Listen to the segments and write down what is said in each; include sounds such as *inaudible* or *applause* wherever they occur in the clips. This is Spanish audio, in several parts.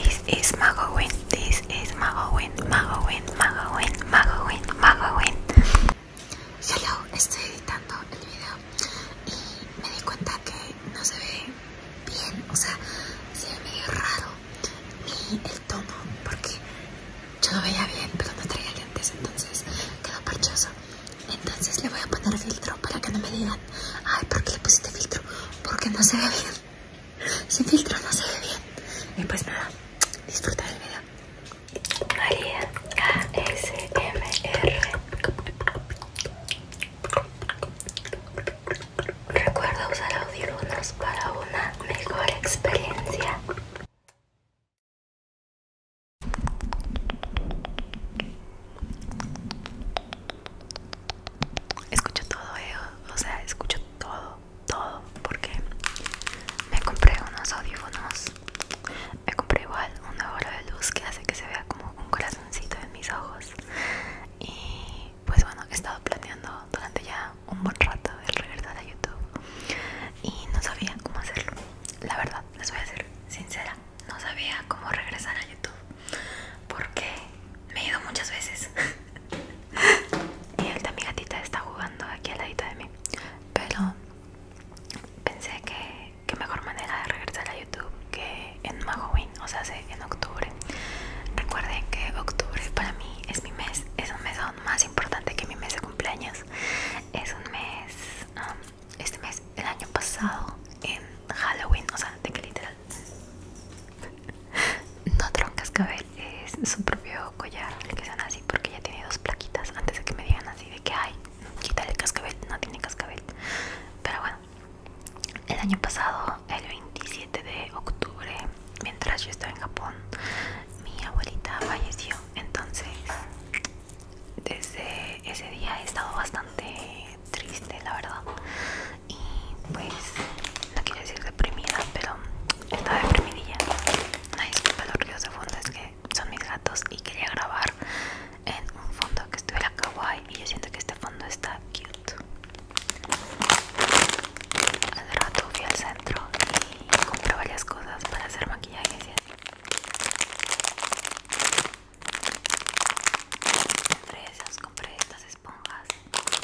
This is Magowin, this is Magowin, Magowin, Magowin, Magowin, Magowin. Hello, estoy editando el video y me di cuenta que no se ve bien, o sea, se ve medio raro y el tono, porque yo lo veía bien, pero no traía lentes, entonces quedó parchoso. Entonces le voy a poner filtro para que no me digan, ay, ¿por qué le este filtro? Porque no se ve bien. Sin filtro no se ve bien. Y pues nada, disfruta del video. María R Recuerda usar audífonos para una mejor experiencia escucho todo, eh, o sea, escucho todo, todo, porque me compré unos audífonos, me compré igual una bola de luz que hace que se vea como un corazoncito en mis ojos y pues bueno, he estado planeando durante ya un buen rato el regresar a YouTube y no sabía cómo hacerlo, la verdad, les voy a ser sincera, no sabía cómo regresar a YouTube porque me he ido muchas veces. *laughs* y de mi gatita está jugando aquí al ladito de mí. Pero pensé que, mejor manera de regresar a YouTube que en Halloween, o sea, en octubre. Recuerden que octubre para mí es mi mes, es un mes aún más importante que mi mes de cumpleaños. Es un mes, um, este mes, el año pasado en Halloween, o sea, de que literal *laughs* No tron cascabel, es su propio collar, el que llama así, porque ya tiene dos plaquitas. Antes de que me digan así de que hay quita el cascabel, no tiene cascabel. Pero bueno, el año pasado, el 27 de octubre, mientras yo estaba en Japón, mi abuelita falleció. Entonces, desde ese día he estado bastante triste, la verdad y pues no quiero decir deprimida pero estaba deprimidilla una disculpa los ruidos de fondo es que son mis gatos y quería grabar en un fondo que estuviera kawaii y yo siento que este fondo está cute al rato fui al centro y compré varias cosas para hacer maquillaje entre esas compré estas esponjas su cajita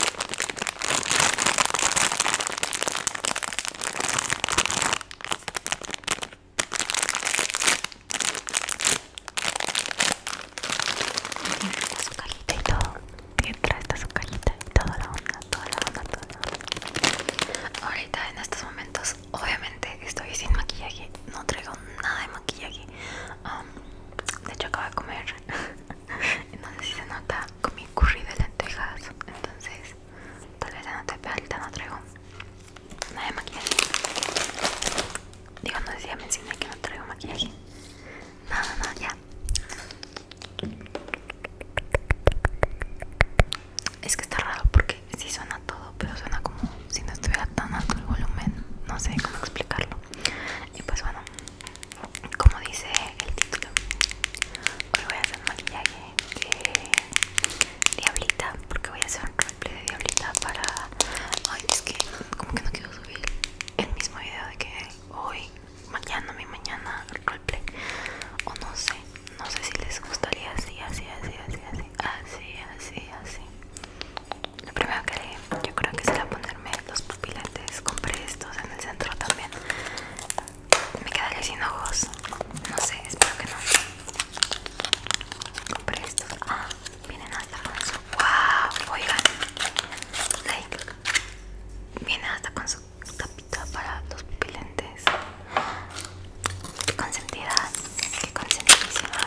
y todo detrás está su cajita y toda la onda toda la onda toda ahorita en estos momentos obviamente estoy sin maquillaje no traigo nada de maquillaje de hecho acabo de comer *laughs* entonces se nota con mi curry de lentejas entonces tal vez no te pero ahorita no traigo nada de maquillaje digo no decía enseñé que no traigo maquillaje nada nada ya es que está raro porque sí suena todo pero suena como si no estuviera tan alto el volumen no sé cómo explicarlo y pues bueno como dice el título, hoy voy a hacer maquillaje de diablita, porque voy a hacer un roleplay de diablita para... Ay, es que como que no quiero subir el mismo video de que hoy, mañana, mi mañana, roleplay, o no sé, no sé si les gustaría así, así, así, así, así, así, así, así lo primero que haré yo creo que será ponerme los pupilentes, compré estos en el centro también me quedaría sin ojos no sé espero que no compré estos ah, vienen hasta con su wow oigan like viene hasta con su tapita para los pupilentes qué consentida qué consentidísima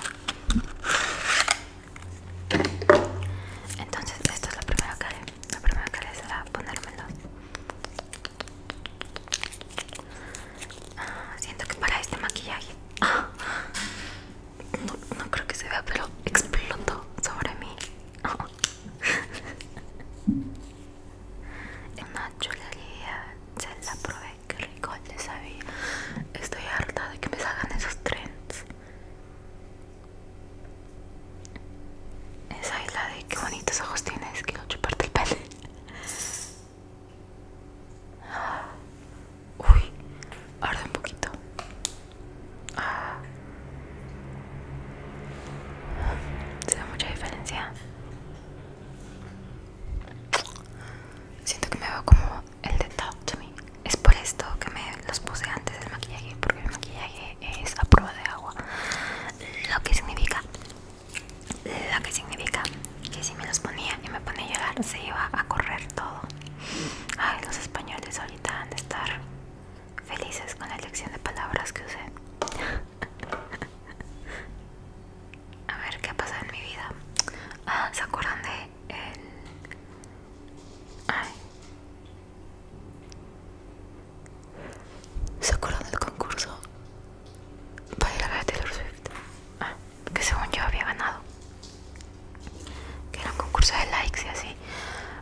entonces, esto es la primera que haré. Lo primero será ponérmelos. Ah, siento que para este maquillaje ah, no, creo que se vea, pero explotó sobre mí. Oh. Una chulería, se la probé, que rico le sabía. Estoy harta de que me salgan esos trends. Esa isla de qué bonitos ojos tienes, que chuparte el pelo. Ah, uy, arde un poquito. Ah, se da mucha diferencia. Siento que me va como el de top es por esto que me los puse antes del maquillaje porque el maquillaje es a prueba de agua lo que significa lo que significa que si me los ponía y me ponía a llorar se iba a correr todo ay los españoles ahorita han de estar felices con la elección de palabras que usé a ver qué ha pasado en mi vida ah, se acuerdan de el... ay se acuerdan del concurso para ir a Taylor Swift, ah, que según yo había ganado, que era un concurso de likes y así.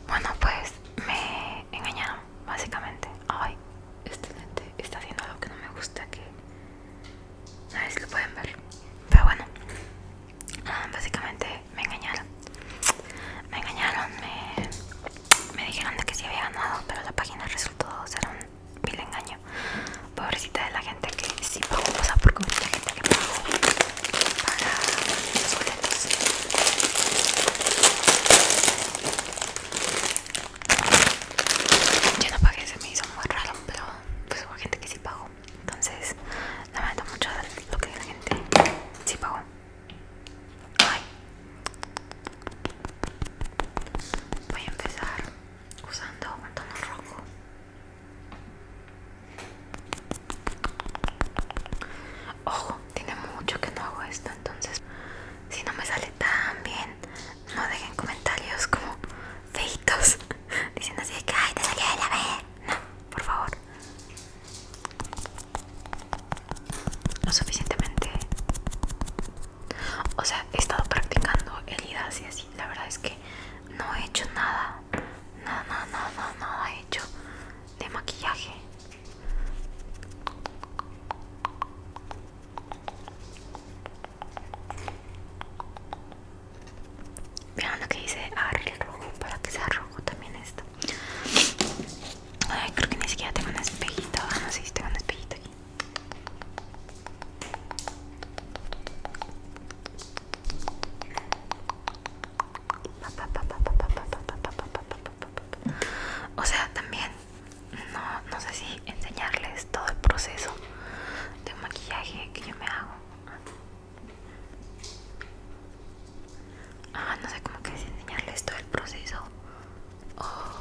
Bueno, pues me engañaron, básicamente. Ay, este gente está haciendo algo que no me gusta, que ¿nadie lo pueden ver, pero bueno. Ah, básicamente me engañaron me engañaron me, me dijeron de que sí había ganado pero la página resultó ser un vil engaño pobrecita de la gente que sí pagó o sea porque mucha gente que pagó para los boletos yo no pagué se me hizo muy raro pero pues hubo gente que sí pagó entonces lamento mucho lo que la gente sí pagó Voy a empezar usando un tono rojo. Ojo, tiene mucho que no hago esto, entonces si no me sale tan bien, no dejen comentarios como feitos *laughs* diciendo así de que ay te salió de la vez No, por favor lo suficientemente o sea he estado practicando heridas y así la verdad es que no he hecho nada nada nada nada nada he hecho de maquillaje Vean lo que dice agarrar el rojo para que sea rojo también esto creo que ni siquiera tengo un espejito. no sé si tengo un espejito aquí. O sea, también no, sé si enseñarles todo el proceso de maquillaje que yo me hago. Ah, no sé cómo que enseñarles todo el proceso o oh,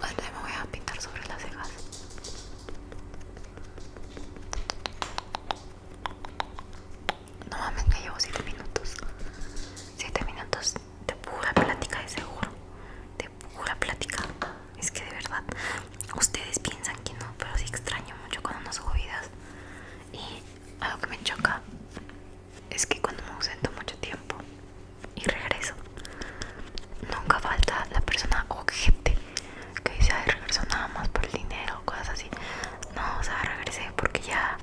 me voy a pintar sobre las cejas. No mames, llevo 7 minutos. 7 minutos de pura plática, de seguro. De pura plática. Es que de verdad, ustedes piensan que no, pero sí extraño mucho cuando no subo Y algo que me choca es que cuando me ausento mucho tiempo y regreso, nunca falta la persona o gente que dice, ay, regreso nada más por el dinero o cosas así. No, o sea, regresé porque ya,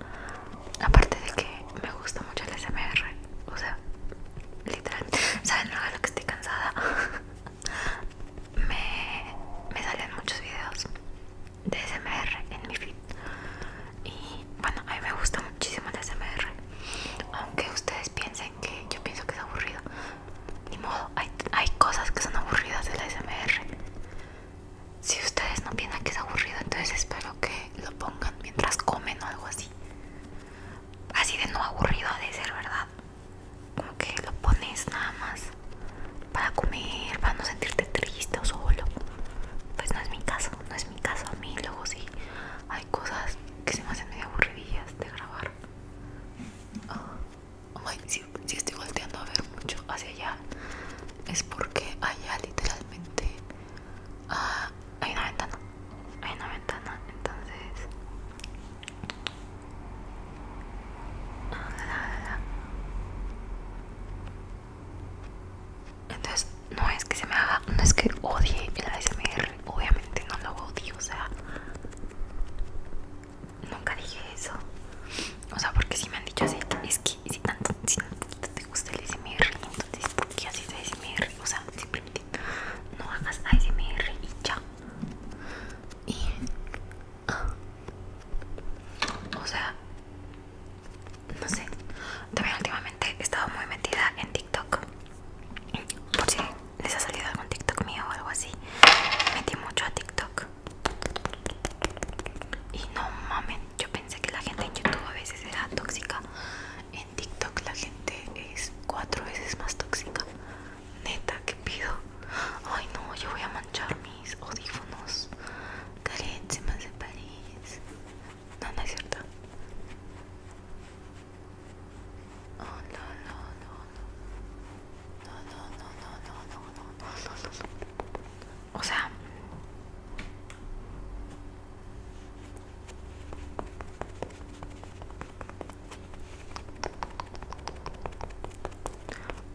aparte de que me gusta mucho el SMR, o sea, literal, *laughs* ¿saben lo no, que estoy cansada? *laughs* me, me salen muchos videos de SMR en mi feed y bueno a mí me gusta muchísimo el SMR aunque ustedes piensen que yo pienso que es aburrido ni modo hay, cosas que son aburridas del SMR si ustedes no piensan que es aburrido entonces espero que lo pongan mientras comen o algo así así de no aburrido de ser verdad como que lo pones nada más para comer, para no sentirte triste o solo. Pues no es mi caso, no es mi caso. A mí luego sí hay cosas que se me hacen medio aburridas de grabar. Ah, si, estoy volteando a ver mucho hacia allá, es porque allá literalmente ah, hay una ventana. Hay una ventana, entonces. Ah, entonces no es que se me haga, no es que odie el ASMR, obviamente no lo odio, o sea, nunca dije eso. O sea, porque si me han dicho así, es que si tanto, si te gusta el ASMR, entonces ¿por qué haces ASMR? O sea, simplemente no hagas ASMR y ya. Y o sea, no sé. También últimamente he estado muy metida en TikTok. Por si les ha salido algún TikTok mío o algo así. Metí mucho a TikTok. Y no mamen, yo pensé que la gente en YouTube a veces era tóxica. En TikTok la gente es cuatro veces más tóxica. Neta, ¿qué pido? Ay no, yo voy a manchar mis audífonos carísimas de París. No, no es cierto. no, no, no, no. No, no, no, no, no, O sea.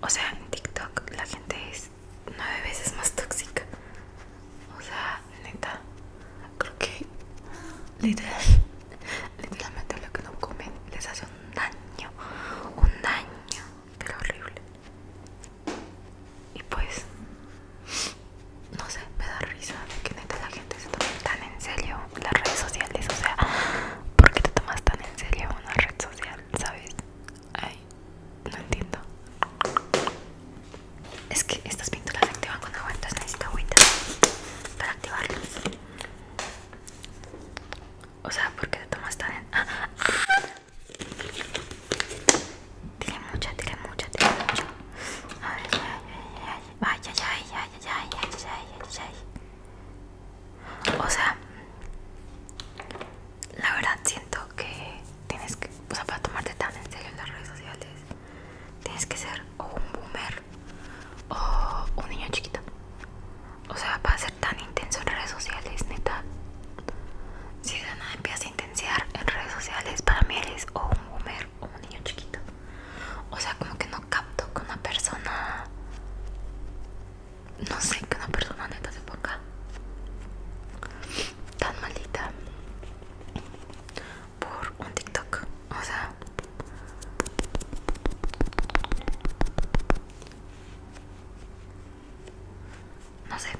O sea, en TikTok la gente es nueve veces más tóxica. O sea, neta, creo que literal, *laughs* literalmente lo que no comen les hace un daño, un daño, pero horrible. Y pues, no sé, me da risa que neta la gente se toma tan en serio las redes sociales. O sea, ¿por qué te tomas tan en serio una red social? ¿Sabes? Ay, no entiendo. Es que estas pinturas se activan cuando aguantas necesito agüita para activarlas. O sea, porque te tomas tan en... ¡Ah! mucha, tiene mucha, tiene mucha, tiene mucho. Ay, ay, ay, ay, ay, ay, ay, ay, ay, ay, ay, ay, ay. O sea, la verdad siento que tienes que, o sea, para tomarte tan en serio en las redes sociales, tienes que ser o un boomer o un niño chiquito. O sea, para ser tan intenso en redes sociales, neta. Si de nada empiezas a intensiar en redes sociales, para mí eres o un boomer o un niño chiquito. O sea, como que no capto que una persona. No sé, que una persona neta se ponga tan maldita por un TikTok. O sea, no sé.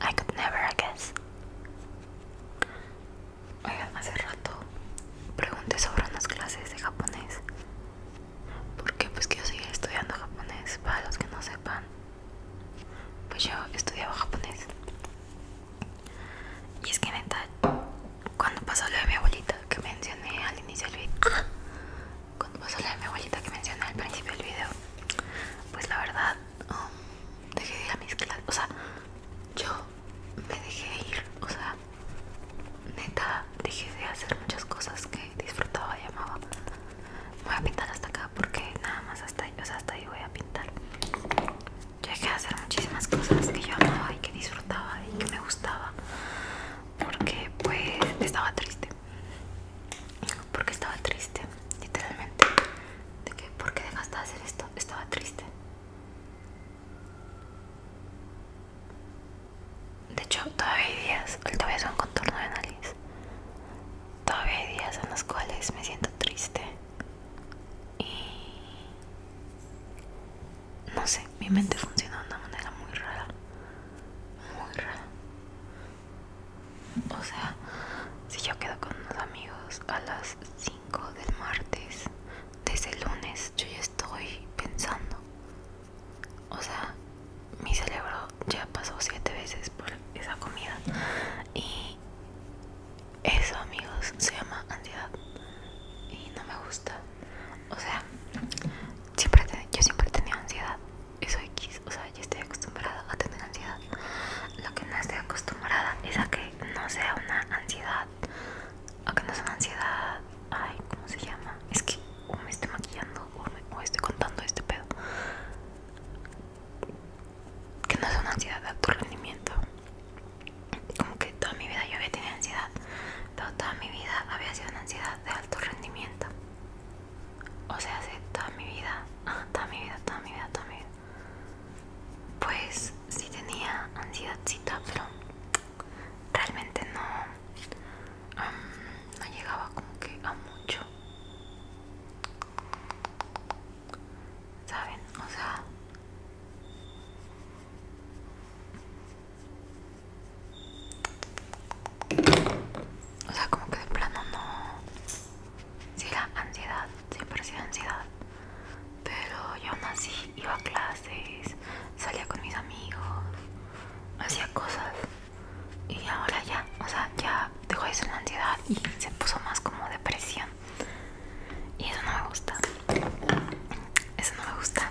I could never, I guess. Oigan, hace rato pregunté sobre unas clases de japonés. Porque pues quiero seguir estudiando japonés, para los que no sepan. Pues yo estudiaba japonés. Y es que neta, cuando pasó lo de mi abuelita que mencioné al inicio del video, ¡Ah! cuando pasó lo de mi abuelita que mencioné al principio del video, pues la verdad, um, dejé de ir a mis clases. O sea, yo me dejé ir. O sea, neta, dejé de hacer muchas cosas que disfrutaba y amaba voy a pintar hasta acá porque nada más hasta ahí, hasta ahí voy a pintar. Yo dejé de hacer muchísimas cosas que yo amaba y que disfrutaba y que me gustaba porque pues estaba triste. Porque estaba triste, literalmente. ¿De que Porque dejaste de hacer esto? Estaba triste. De hecho, todavía días, todavía es un contorno de nariz Todavía hay días en los cuales me siento triste y no sé, mi mente funciona de una manera muy rara, muy rara. O sea, si yo quedo con unos amigos a las 5 del martes, desde el lunes yo ya estoy pensando. O sea, mi cerebro ya pasó siete veces por esa comida y eso amigos se llama ansiedad y no me gusta o sea siempre yo siempre he tenido ansiedad eso X o sea ya estoy acostumbrada a tener ansiedad lo que no estoy acostumbrada es a que no sea una ansiedad a que no sea una ansiedad ay cómo se llama es que o me estoy maquillando o, me, estoy contando este pedo que no es una ansiedad de alto rendimiento como que toda mi vida yo había tenido ansiedad pero toda mi vida había sido una ansiedad de alto rendimiento o sea hace toda mi vida toda mi vida toda mi vida toda mi vida pues sí tenía ansiedad, ansiedadcita pero realmente no no llegaba como que a mucho ¿Saben? O sea... O sea, como que de plano no... Sí, la ansiedad, siempre sí ansiedad. Pero yo nací, iba a clases, salía con mis amigos, hacía cosas y ahora ya, o sea, ya dejó de ser la ansiedad y se puso más como depresión. Y eso no me gusta. Eso no me gusta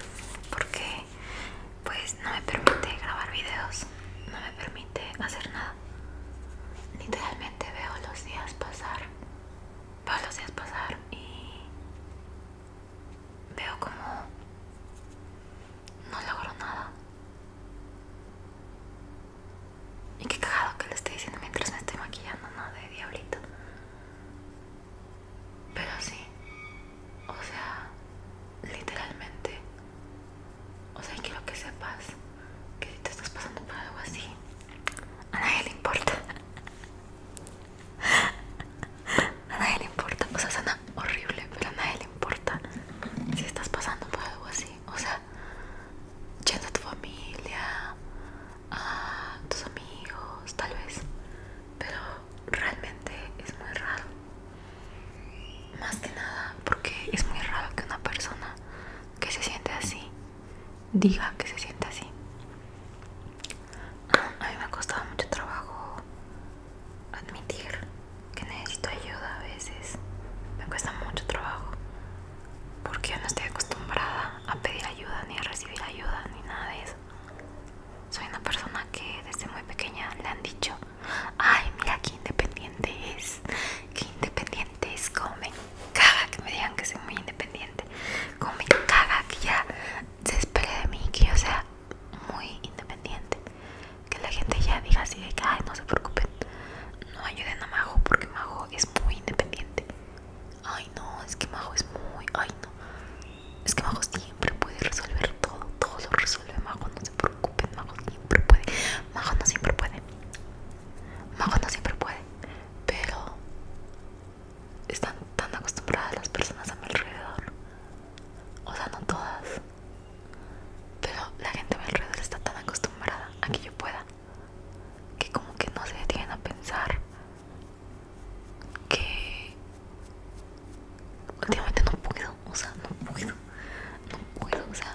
porque pues no me permite grabar videos, no me permite hacer nada. Literalmente veo los días pasar. Veo los días pasar y veo como no logro nada. Y qué cagado que le estoy diciendo mientras me estoy maquillando, ¿no? De diablito. Pero sí, o sea, literalmente, o sea, quiero que sepas que si te estás pasando por algo así, a nadie le importa. A nadie le importa, o sea, suena horrible, pero a nadie le importa si estás pasando por algo así. O sea, yendo a tu familia, a tus amigos, tal vez, pero realmente es muy raro. Más que nada porque es muy raro que una persona que se siente así diga que se siente así. Ah, a mí me ha costado mucho trabajo admitir que necesito ayuda a veces. Me cuesta mucho trabajo porque yo no estoy acostumbrada a pedir ayuda ni a recibir ayuda ni nada de eso. Soy una persona que desde muy pequeña le han dicho, ay mira qué independiente es, qué independiente es, como me caga que me digan que soy muy independiente, como me caga que ya se espere de mí que yo sea muy independiente que la gente ya diga así de que, ay, no se preocupen, no ayuden a mago porque mago es muy independiente. Ay, no, es que mago es muy, ay, no, es que Majo siempre puede resolver todo, todo lo resuelve Majo, no se preocupen, Majo siempre puede, Majo no siempre puede, Majo no siempre puede, pero están tan acostumbradas las personas a mi alrededor, o sea, no todas pero la gente a mi alrededor está tan acostumbrada a que yo pueda que como que no se detienen a pensar que últimamente no puedo, o sea, no puedo, no puedo, o sea,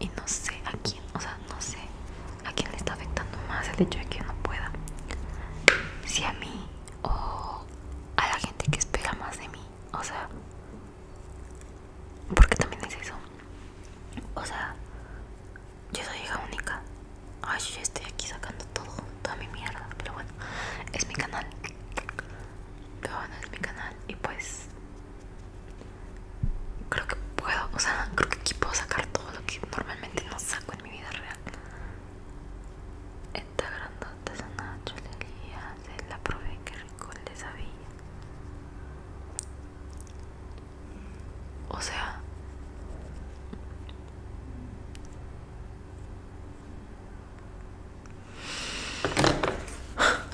y no sé a quién, o sea, no sé a quién le está afectando más el hecho de que yo no pueda. Si a mí o a la gente que espera más de mí, o sea, porque también es eso. O sea, yo soy hija única. Ay, yo estoy aquí sacando todo, toda mi mierda. Pero bueno, es mi canal. Pero bueno, es mi canal. Y pues, creo que puedo, o sea, creo que aquí puedo sacar todo lo que normalmente no saco en mi vida real. Esta grandota es una la probé con de esa O sea,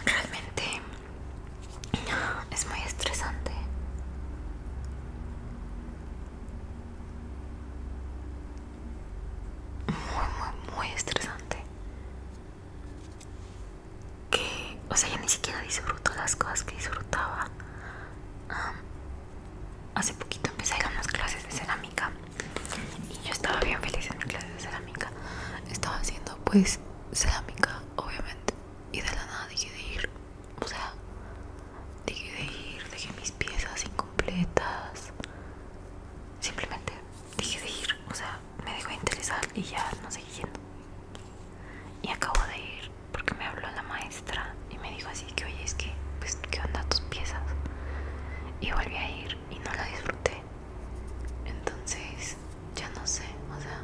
realmente es muy estresante. Muy, muy, muy estresante que, o sea, ya ni siquiera disfruto las cosas que disfrutaba. hace poquito empecé a unas clases de cerámica y yo estaba bien feliz en mi clase de cerámica. Estaba haciendo, pues, cerámica, obviamente, y de la nada dije de ir. O sea, dejé de ir, dejé mis piezas incompletas. Simplemente dejé de ir, o sea, me dejó interesar y ya no seguí yendo y acabo de ir porque me habló la maestra y me dijo así que oye es que pues qué onda tus piezas y volví a ir y no la disfruté entonces ya no sé o sea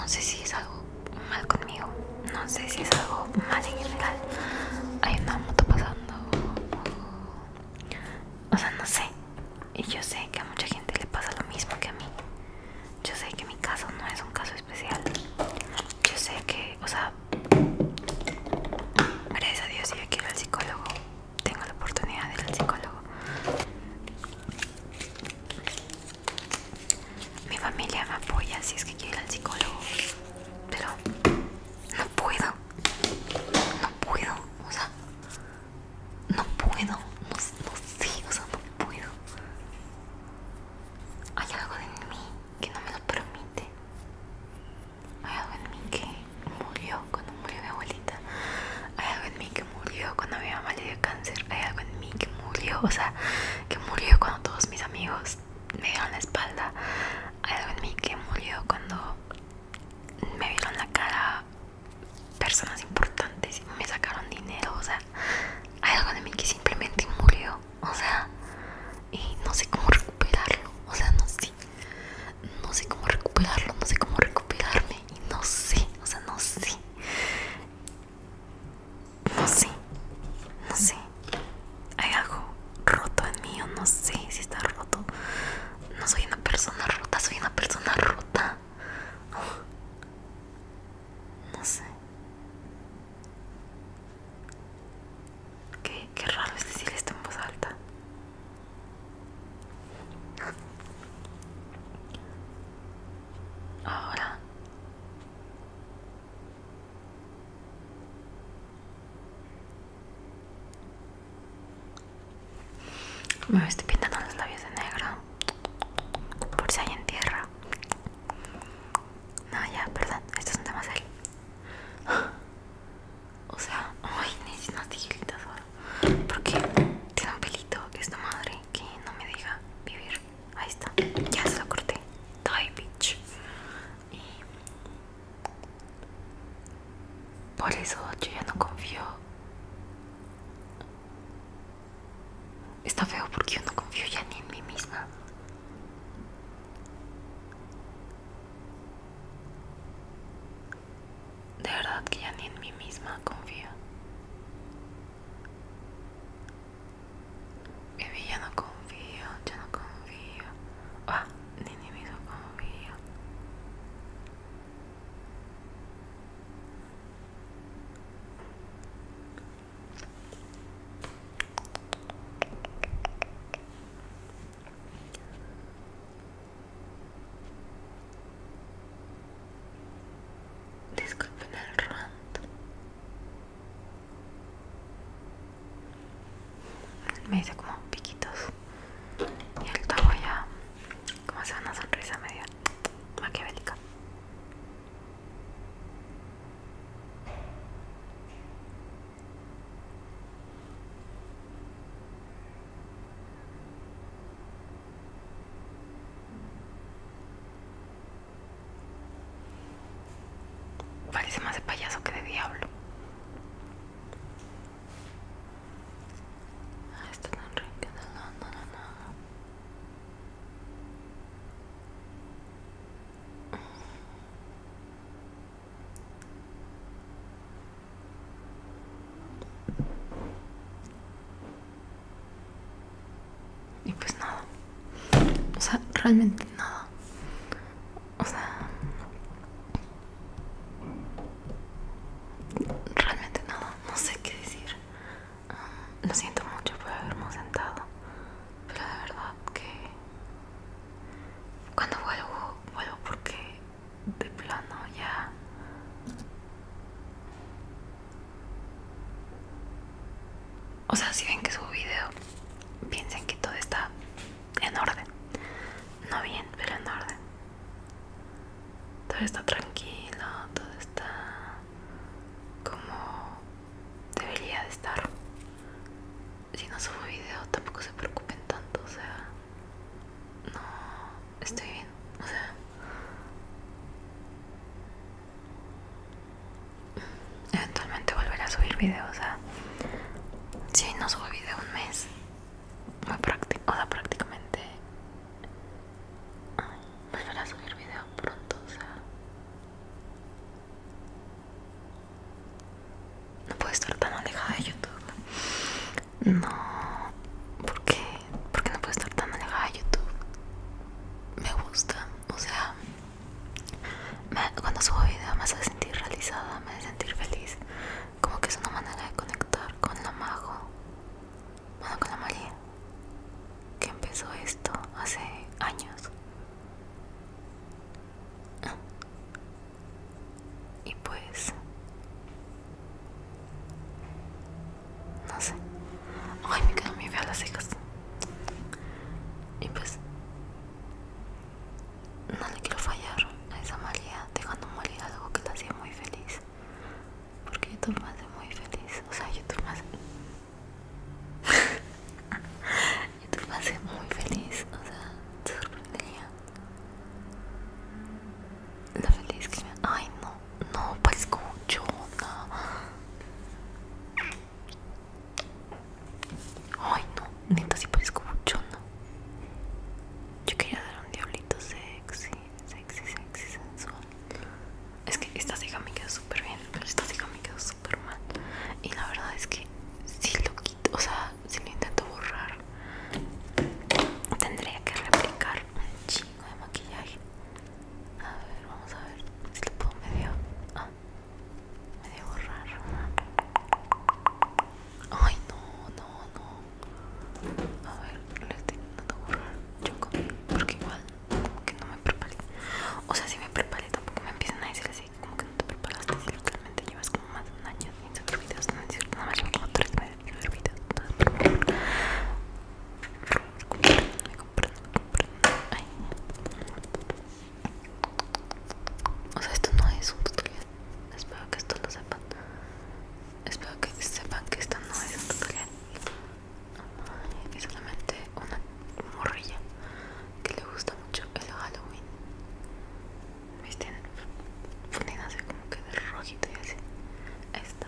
no sé si es algo mal conmigo no sé si es algo mal en general hay una moto pasando o sea no sé y yo sé que a mucha gente le pasa lo mismo que a mí. Yo sé que mi caso no es un caso especial. Yo sé que, o sea, gracias a Dios, si yo quiero al psicólogo, tengo la oportunidad de ir al psicólogo. Mi familia me apoya si es que quiero ir al psicólogo, pero no puedo. No puedo, o sea, no puedo, no, no sé, o sea, no puedo. Hay algo en mí que no me lo permite. Hay algo en mí que murió cuando murió mi abuelita. Hay algo en mí que murió cuando mi mamá le dio cáncer. Hay algo en mí que murió, o sea, que murió cuando todos mis amigos me dieron la espalda. Hay algo en mí que murió cuando me vieron la cara personas importantes me sacaron dinero, o sea, hay algo de mí que simplemente murió, o sea, y no sé cómo recuperarlo, o sea, no sé, no sé cómo recuperarlo, no sé cómo recuperarme, y no sé, o sea, no sé, no sé, no sé, hay algo roto en mí, o no sé si está roto, no soy una persona rota, soy una persona rota. No sé. Qué, raro es decir esto en voz alta. Ahora. Me estoy pintando los labios de negro por si hay en tierra. No, ya, perdón, esto es un tema *gasps* O sea, ay, necesito una tijilitas Porque tiene un pelito esta madre que no me diga vivir. Ahí está, ya se lo corté. Die, bitch. Y por eso yo ya no confío Está feo porque yo no confío ya ni en mí misma. De verdad que ya ni en mí misma confío. Baby, ya no confío, ya no confío. Ah, ni en mí mismo confío. Disculpen el rondo, Me hice como piquitos. Y el topo ya, como van una sonrisa media maquiavélica. Parece más de payaso que de diablo. Ah, esto no, no, no, no. Y pues nada. O sea, realmente nada. O sea... Realmente nada. No sé qué decir. Lo siento mucho por haberme sentado, pero de verdad que cuando vuelvo, vuelvo porque de plano ya... O sea, si ven que subo video, piensen que todo está en orden. No bien, pero en orden. Todo está tranquilo, todo está como debería de estar. Si no subo video tampoco se preocupen tanto, o sea, no estoy bien, o sea, eventualmente volveré a subir video, o sea, si no subo video un mes, o sea, prácticamente volver pues a subir video pronto, o sea. No puedo estar tan alejada de YouTube. No, porque qué? no puedo estar tan alejada de YouTube? Me gusta, o sea, cuando subo video me hace sentir realizada, me hace sentir feliz. Como que es una manera de conectar con lo mago. Bueno, con la María, que empezó esto hace años. Y pues... No sé. Ay, me quedo muy feas las cejas. Y pues... No le quiero fallar a esa María dejando María algo que la hacía muy feliz porque YouTube me hace muy feliz, o sea, YouTube me hace... *laughs* YouTube me hace muy feliz, o sea, te sorprendería lo feliz que me... Ay, no, no, parezco pues, Ay, no, neta, si parezco no Yo quería dar un diablito sexy, sexy, sexy, sensual. Es que esta ceja me quedó súper bien, pero esta ceja me quedó súper mal. Y la verdad es que si lo quito, o sea, si lo intento borrar, tendría que replicar un chingo de maquillaje. A ver, vamos a ver si lo puedo medio. Ah, borrar. Ay, no, no, no. A ver, lo estoy intentando borrar yo porque igual que no me preparé. O sea, si me preparé, tampoco me empiezan a decir así, como que no te preparaste. Si literalmente llevas como más de un año sin subir videos, no es cierto, nada más llevo como 3 meses sin subir videos. me compré, me compré. Ay. O sea, esto no es un tutorial. Espero que esto lo sepan. Espero que sepan que esto no es un tutorial es solamente una morrilla que le gusta mucho el Halloween. Visten fundidas así como que de rojito y así. está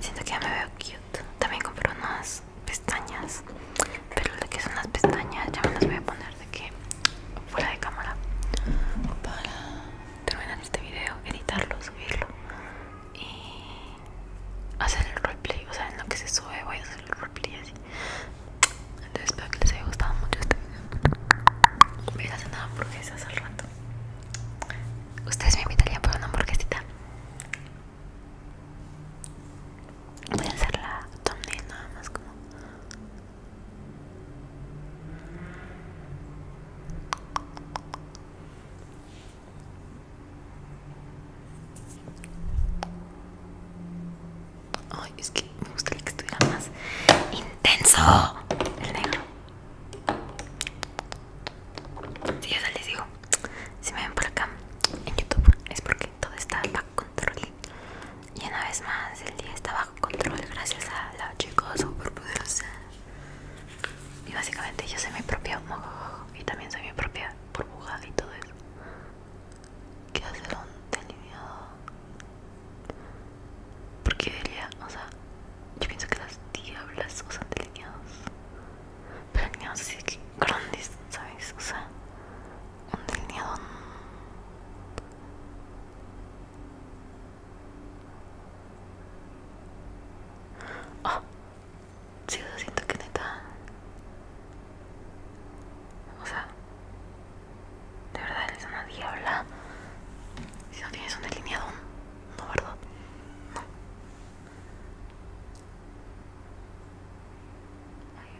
Siento que ya me veo cute. También compré unas pestañas pero lo que son las pestañas ya me las voy a poner de que fuera de cámara para terminar este video editarlo subirlo y hacer el roleplay o sea en lo que se sube voy a hacer el roleplay así entonces espero que les haya gustado mucho este video voy a hacer una hamburguesas al rato ustedes me invitarían por una hamburguesita Voy a hacer la thumbnail nada más como Ay, es que me gustaría que estuviera más intenso el negro. Si ya les digo, si me ven por acá en YouTube es porque todo está bajo control. Y una vez más, el día está bajo control gracias a la súper poderosos Y básicamente yo soy mi propio mojo y también soy mi propia burbuja y todo eso. Quiero hacer un delineado. Porque diría, o sea, yo pienso que las diablas usan delineados. Pero delineados así que grandes, ¿sabes? O sea, un delineado oh, ah, lo siento que neta o sea de verdad eres una diabla si no tienes un delineado no verdad Ahí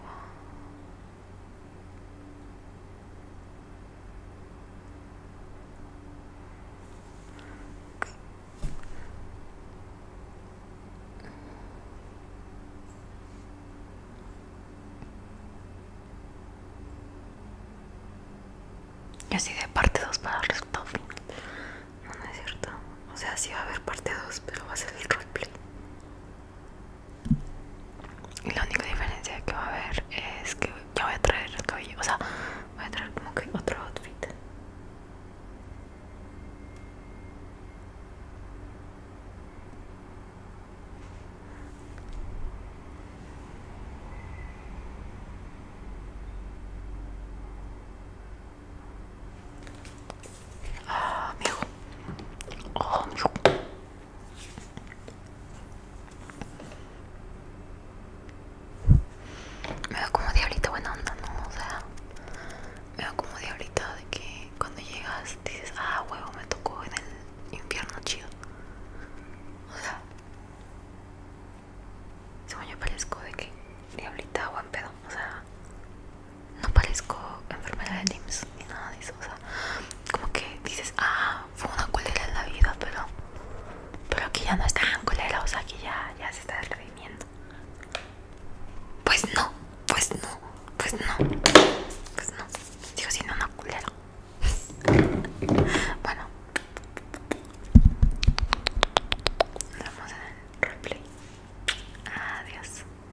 y así de parte 2 para el resultado final. No, no es cierto. O sea, sí va a haber parte 2, pero va a ser el roleplay. Y La única diferencia que va a haber es que yo voy a traer cabello, o sea, voy a traer como que otro outfit. Ah, amigo. Oh, amigo. Me veo como diablita buena onda, ¿no? O sea, me veo como diablita de que cuando llegas dices, ah, huevo, me tocó en el infierno chido. O sea, según yo parezco de que diablita buen pedo, o sea, no parezco enfermera de dims ni nada de eso, o sea, como que dices, ah, fue una culera en la vida, pero, pero aquí ya no está tan culera, o sea, aquí ya, se está redimiendo. Pues no, pues no, pues no, pues no, sigo siendo una culera. *laughs* bueno, nos vemos en el replay. Adiós.